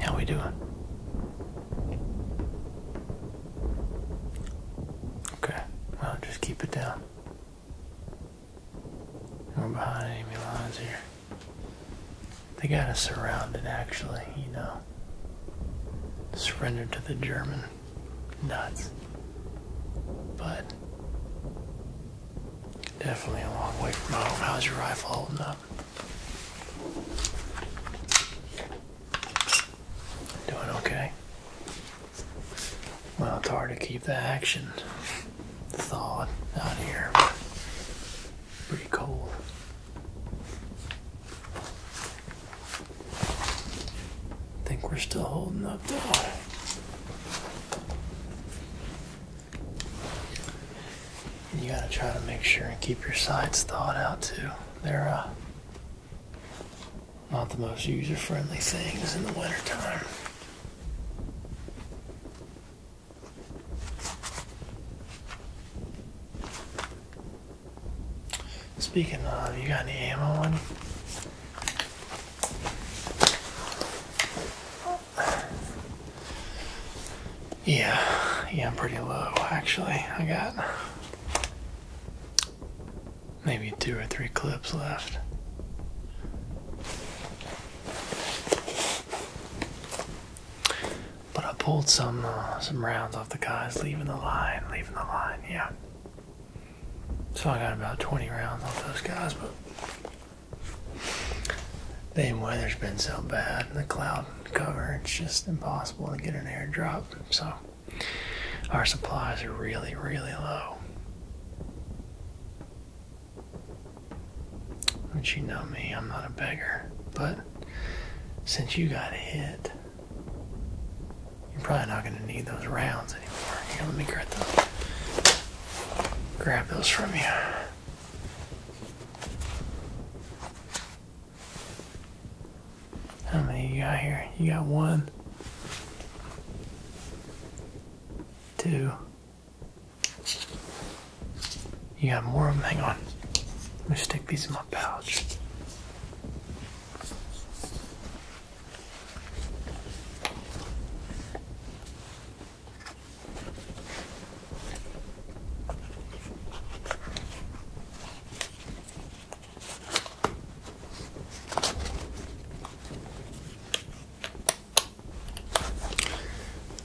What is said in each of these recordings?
How we doing? Okay, well just keep it down. We're behind enemy lines here. They got us surrounded actually, you know. Surrendered to the German. Nuts. But definitely a long way from home. How's your rifle holding up? Doing okay? Well, it's hard to keep the action thawed out here. Pretty cold. I think we're still holding up though you gotta try to make sure and keep your sides thawed out too. They're uh, not the most user-friendly things in the wintertime. Speaking of, you got any ammo on you? Yeah, yeah, I'm pretty low actually. I got maybe two or three clips left. But I pulled some uh, some rounds off the guys leaving the line, leaving the line, yeah. So I got about 20 rounds off those guys, but the weather's been so bad and the clouds cover, it's just impossible to get an airdrop. So our supplies are really, really low. But you know me, I'm not a beggar. But since you got hit, you're probably not going to need those rounds anymore. let me grab those. Grab those from you. How many you got here? You got one, two. You got more of them? Hang on. Let me stick these in my pouch.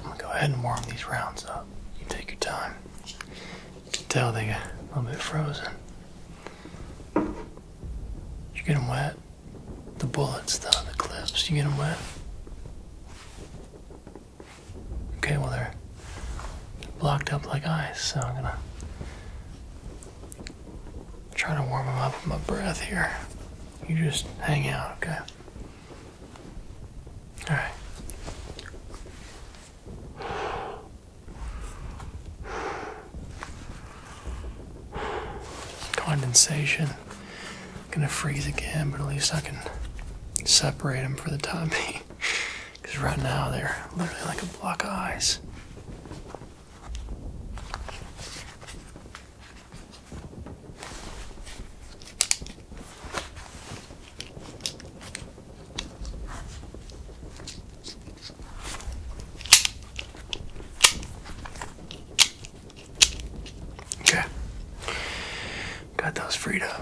I'm gonna go ahead and warm these rounds up. You take your time. You can tell they got a little bit frozen. You get them wet. The bullets, the, the clips, you get them wet. Okay, well, they're blocked up like ice, so I'm gonna try to warm them up with my breath here. You just hang out, okay? Alright. Condensation. gonna freeze again, but at least I can separate them for the time being. Because right now they're literally like a block of ice. Okay. Got those freed up.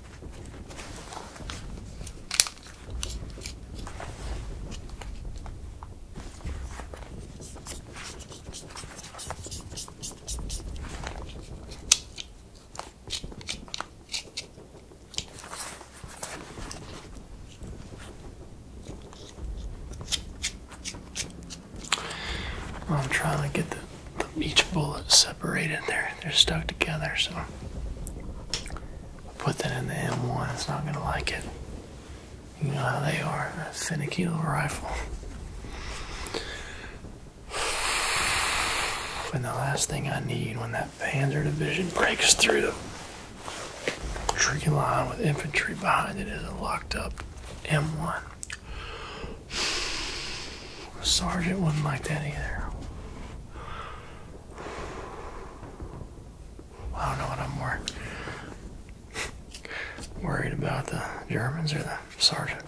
I'm trying to get the each bullet's separated. They're, they're stuck together, so put that in the M1. It's not going to like it. You know how they are. A finicky little rifle. And the last thing I need when that Panzer Division breaks through the tree line with infantry behind it is a locked up M1. Sergeant wouldn't like that either. I don't know what I'm more worried about the Germans or the sergeant.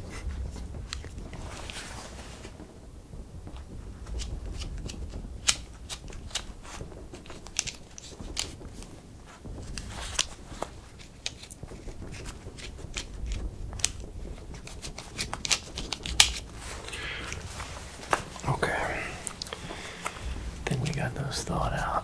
Okay. Think we got those thought out.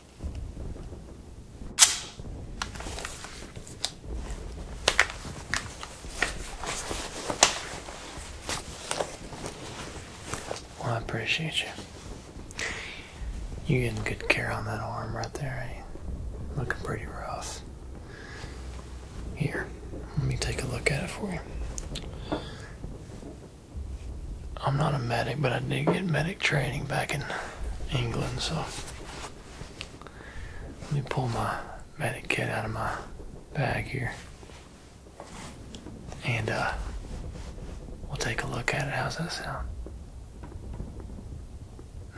Well, I appreciate you. You getting good care on that arm right there, eh? Looking pretty rough. Here, let me take a look at it for you. I'm not a medic, but I did get medic training back in England, so let me pull my medic kit out of my bag here. And uh, we'll take a look at it. How's that sound?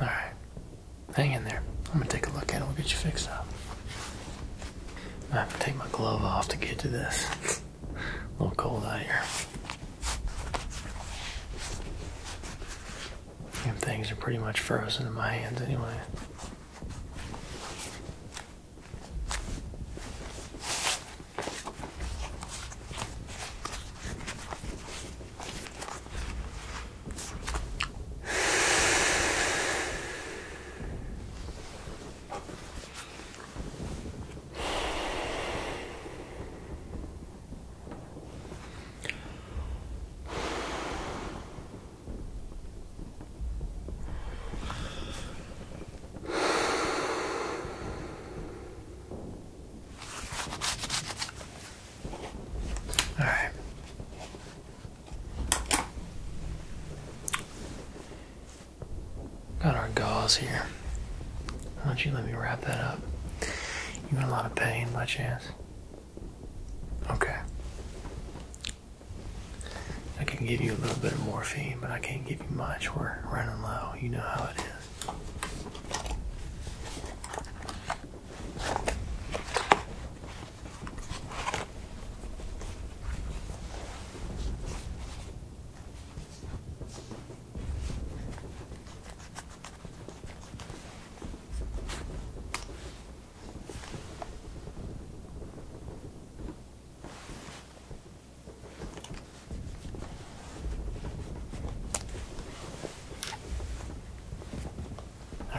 Alright. Hang in there. I'm gonna take a look at it. We'll get you fixed up. I have to take my glove off to get to this. a little cold out here things are pretty much frozen in my hands anyway. All right. Got our gauze here. Why don't you let me wrap that up? You in a lot of pain by chance? Okay. I can give you a little bit of morphine, but I can't give you much. We're running low. You know how it is. All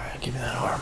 right, give me that arm.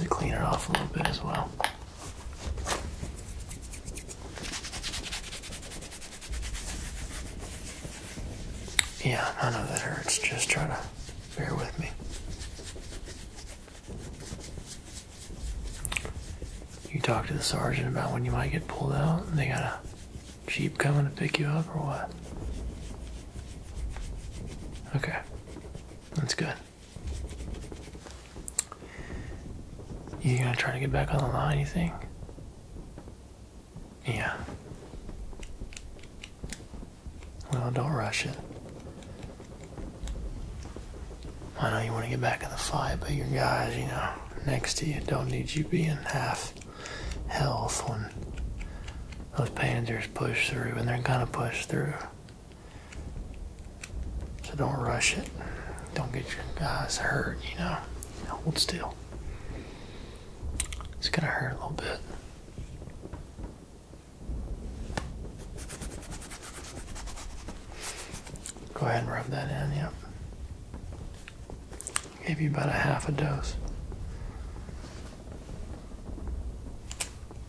to clean it off a little bit as well. Yeah, none of that hurts. Just try to bear with me. You talk to the sergeant about when you might get pulled out, they got a jeep coming to pick you up, or what? Okay. That's good. You gonna try to get back on the line, you think? Yeah. Well, don't rush it. I know you want to get back in the fight, but your guys, you know, next to you don't need you being half health when those panzers push through, and they're gonna push through. So don't rush it. Don't get your guys hurt, you know. Hold still. It's gonna hurt a little bit. Go ahead and rub that in, yep. Gave you about a half a dose.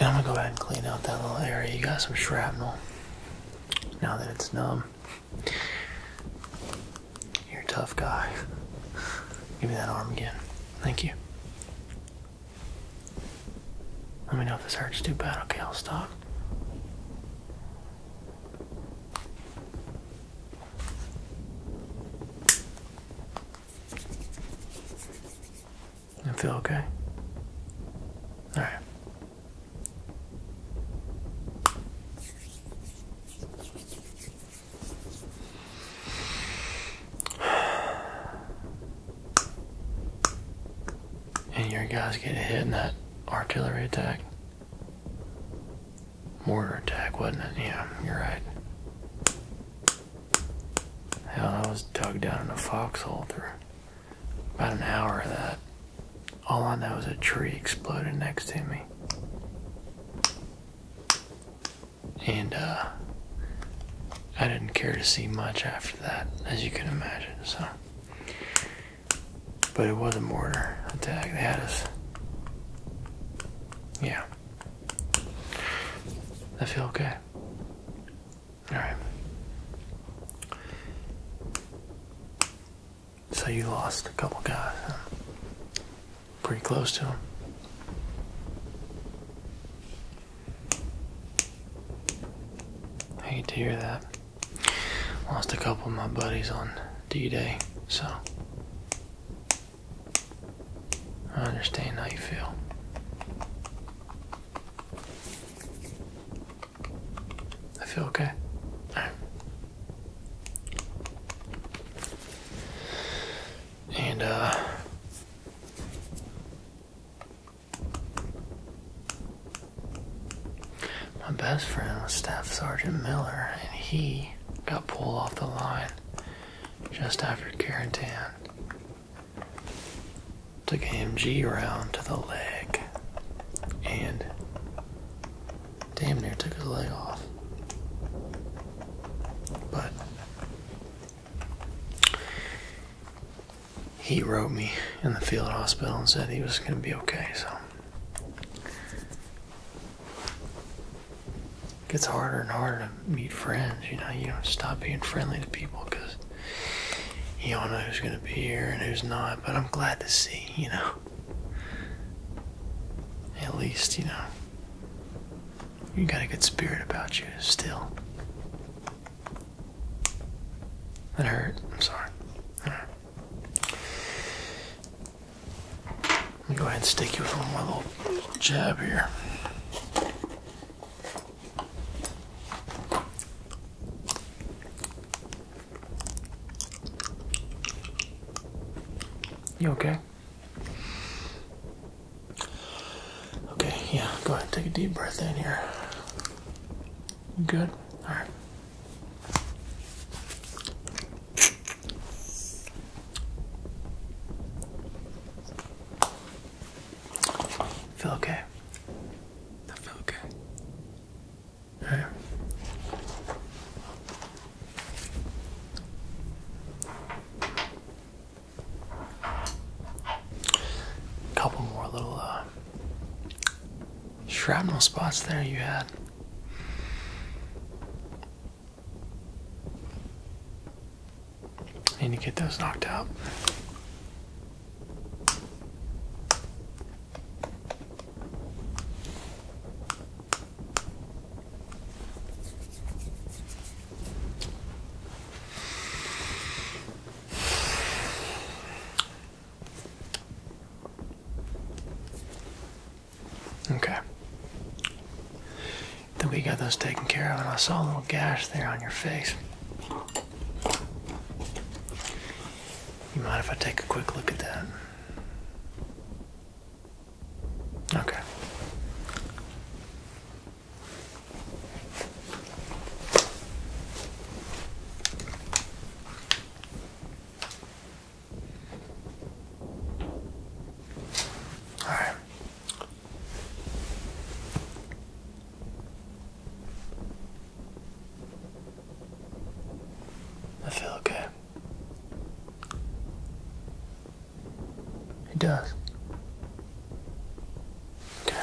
And I'm gonna go ahead and clean out that little area. You got some shrapnel now that it's numb. You're a tough guy. Give me that arm again. Thank you. Let me know if this hurts too bad. Okay, I'll stop. I feel okay. All right. and your guys get hit in that artillery attack. Mortar attack, wasn't it? Yeah, you're right. Hell, I was dug down in a foxhole for about an hour of that. All I know was a tree exploded next to me. And, uh, I didn't care to see much after that, as you can imagine, so. But it was a mortar attack. They had us. Yeah. I feel okay. Alright. So you lost a couple guys, huh? Pretty close to them. I hate to hear that. Lost a couple of my buddies on D-Day, so I understand how you feel. I feel okay. And uh my best friend was Staff Sergeant Miller, and he got pulled off the line just after Carantan. Took MG round to the leg and damn near took his leg off. But he wrote me in the field hospital and said he was going to be okay. So it gets harder and harder to meet friends. You know, you don't stop being friendly to people because you all know who's going to be here and who's not. But I'm glad to see, you know, at least, you know, you got a good spirit about you still. That hurt. I'm sorry. Let me go ahead and stick you with one more little jab here. You okay? Okay, yeah, go ahead, take a deep breath in here. Good. All right. Feel okay. I feel okay. Right. Couple more little uh, Shrapnel spots there you had. need to get those knocked out. Okay. Then we got those taken care of, and I saw a little gash there on your face. You mind if I take a quick look at that? Okay. I feel okay. It does. Okay.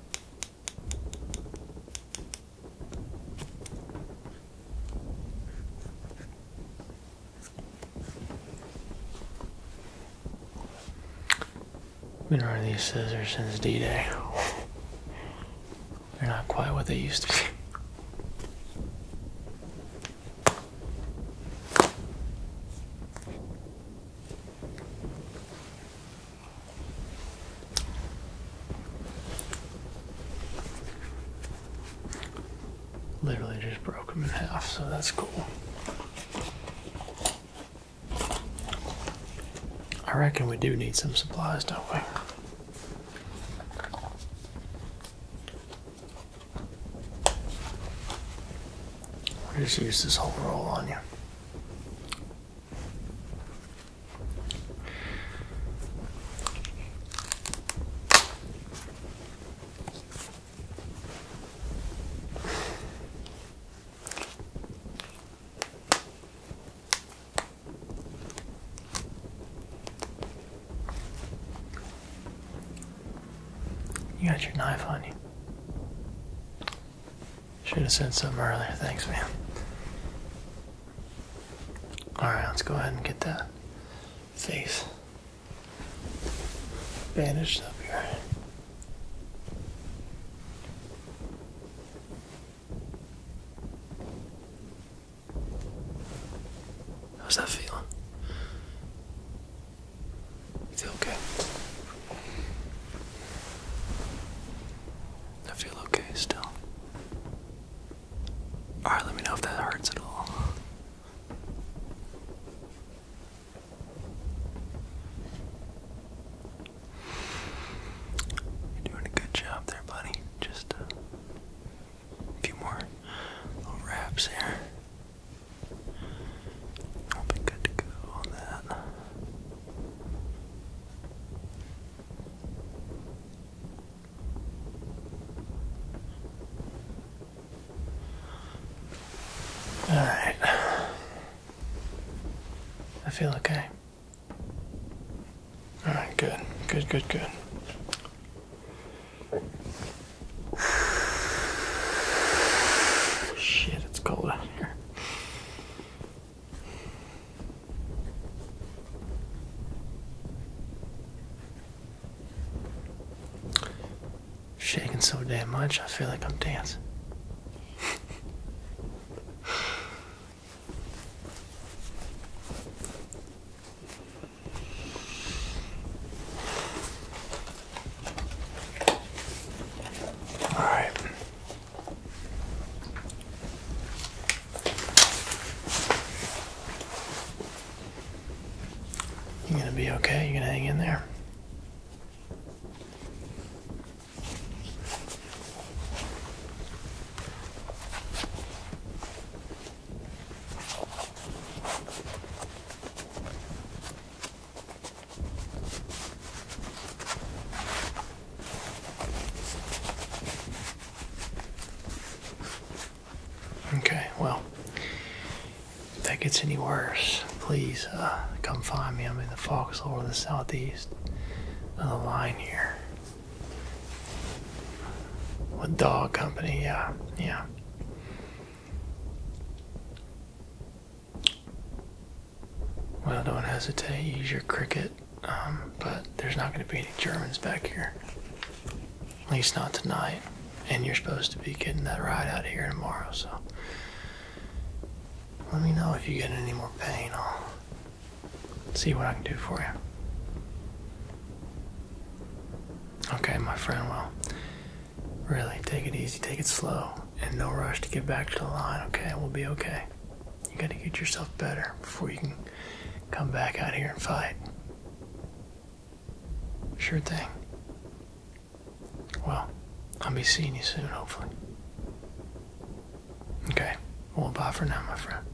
Been running these scissors since D-Day. They're not quite what they used to be. Literally just broke them in half, so that's cool. I reckon we do need some supplies, don't we? We'll just use this whole roll on you. You got your knife on you. Should have said something earlier. Thanks, man. Alright, let's go ahead and get that face bandaged up here. How's that feeling? Feel okay. I feel okay still. Alright, let me know if that hurts at all. You're doing a good job there, buddy. Just a few more little wraps here. I'll be good to go on that. All right. I feel okay. All right, good, good, good, good. Shit, it's cold out here. Shaking so damn much, I feel like I'm dancing. All right. You're going to be okay. You're going to hang in there. Okay, well, if that gets any worse, please uh, come find me. I'm in the foxhole or the southeast of the line here. With dog company, yeah, yeah. Well, don't hesitate. Use your cricket, um, but there's not going to be any Germans back here. At least not tonight. And you're supposed to be getting that ride out here tomorrow, so let me know if you get any more pain. I'll see what I can do for you. Okay, my friend, well, really, take it easy, take it slow and no rush to get back to the line, okay? We'll be okay. You gotta get yourself better before you can come back out here and fight. Sure thing. Well, I'll be seeing you soon, hopefully. Okay, well, bye for now, my friend.